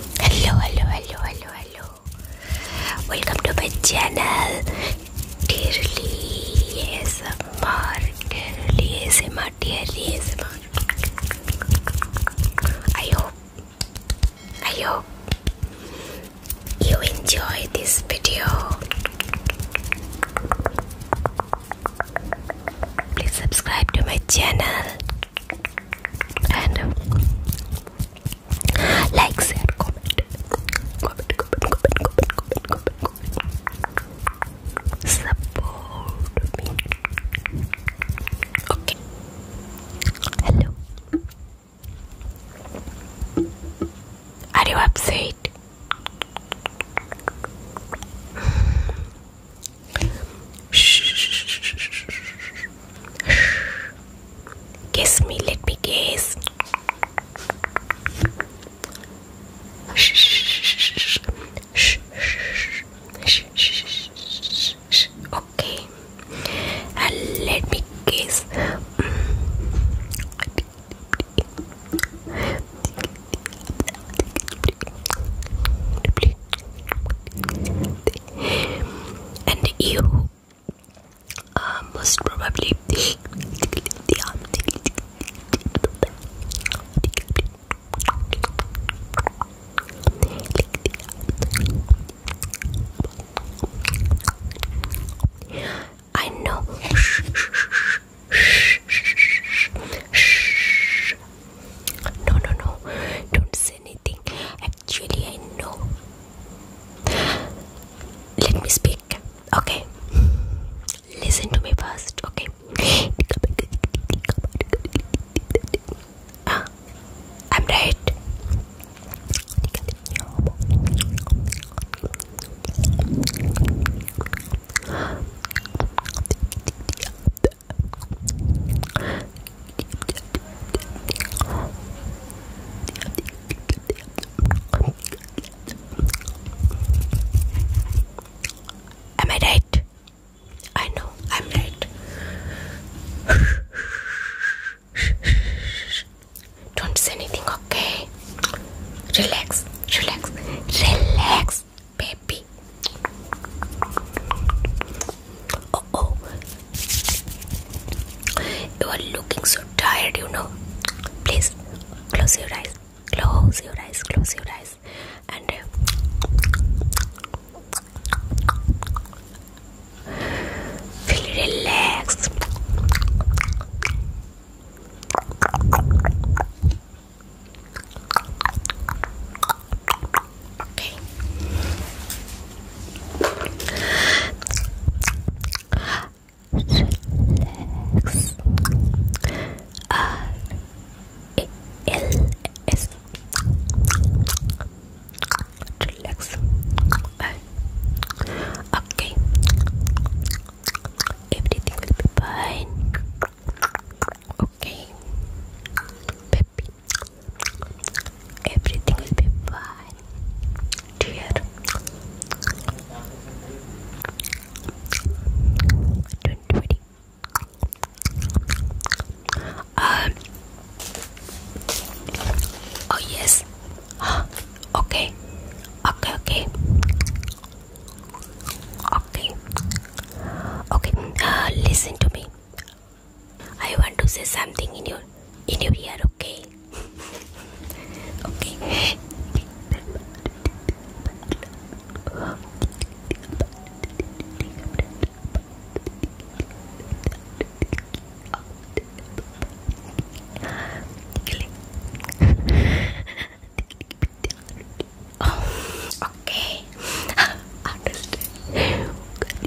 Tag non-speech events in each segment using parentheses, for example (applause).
hello hello hello hello hello welcome to my channel dearly ASMR dearly ASMR dearly ASMR I hope I hope you enjoy this video please subscribe to my channel and um, like, share, comment, comment, comment, comment, comment, comment, comment, comment. Support me. Okay. Hello. Are you upset? Kiss me, let me kiss. Okay, and let me kiss and you uh, most probably I know. No, no, no. Don't say anything. Julie, I know. Let me speak. Okay. Listen to me first, okay? Ah, I'm right. Am I right? I know I'm late. Don't say anything, okay? Relax, relax, relax, baby. Oh, oh. You are looking so tired, you know. Please close your eyes. Close your eyes. Close your eyes. And uh, feel relaxed. Okay. Relax. R E L S. Relax. Okay. Everything will be fine. Okay. Baby, Everything will be fine, dear. do Um. Oh yes. (gasps) Okay. Okay. Okay. Okay. Okay. Uh, listen to me. I want to say something in your in your ear, okay? (laughs) okay. (laughs) (laughs)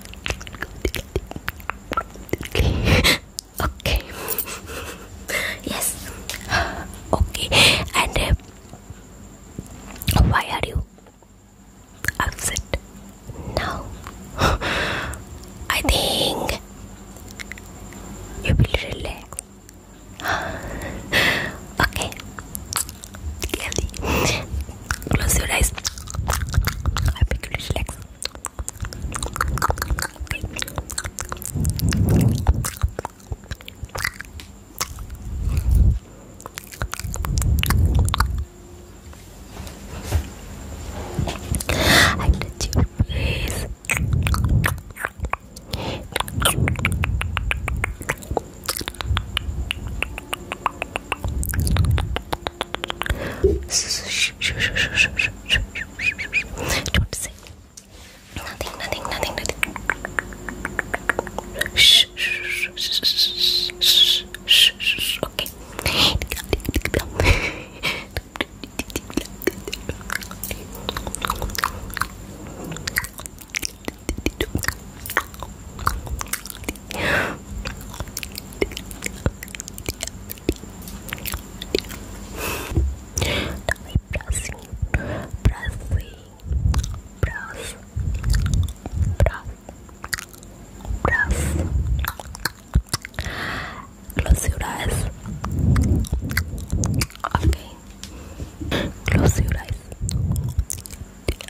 (laughs) okay yes (gasps) okay and uh, why are you upset now (gasps) i think you will relax (gasps) okay Close your eyes. I think you relax. Okay. I touch your face. Do you want to say? Nothing, nothing, nothing, nothing. Shh, shh, shh, shh, shh, shh, shh. Okay. Now we brushing, brushing, brush, brush, brush. Close your eyes. Okay. Close your eyes.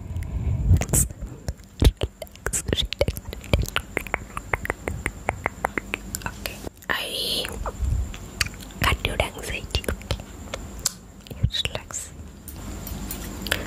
Relax. Relax. Relax. Okay. I cut your anxiety. Okay. You relax. Okay.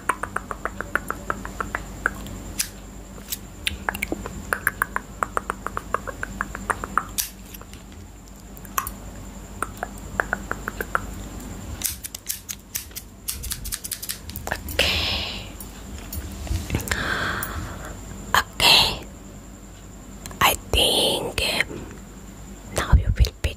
Okay. Okay. I think um, now you will be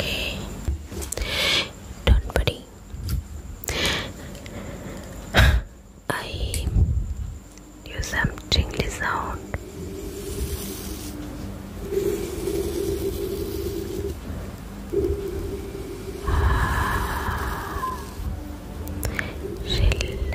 Okay. Don't worry. I do some tingly sound. Ah. Relax.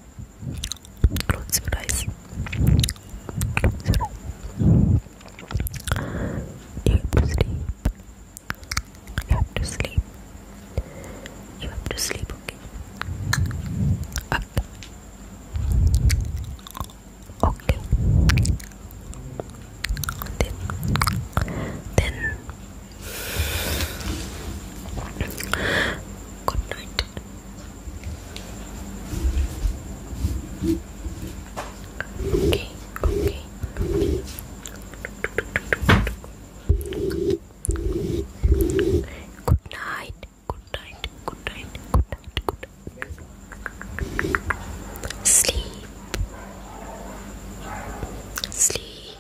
Close your eyes. You have to sleep. You have to sleep. You have to sleep, okay? Up. Okay. Then, then Good night. Okay, okay, Good night. Good night. Good night. Good night. Good night. Sleep. Sleep.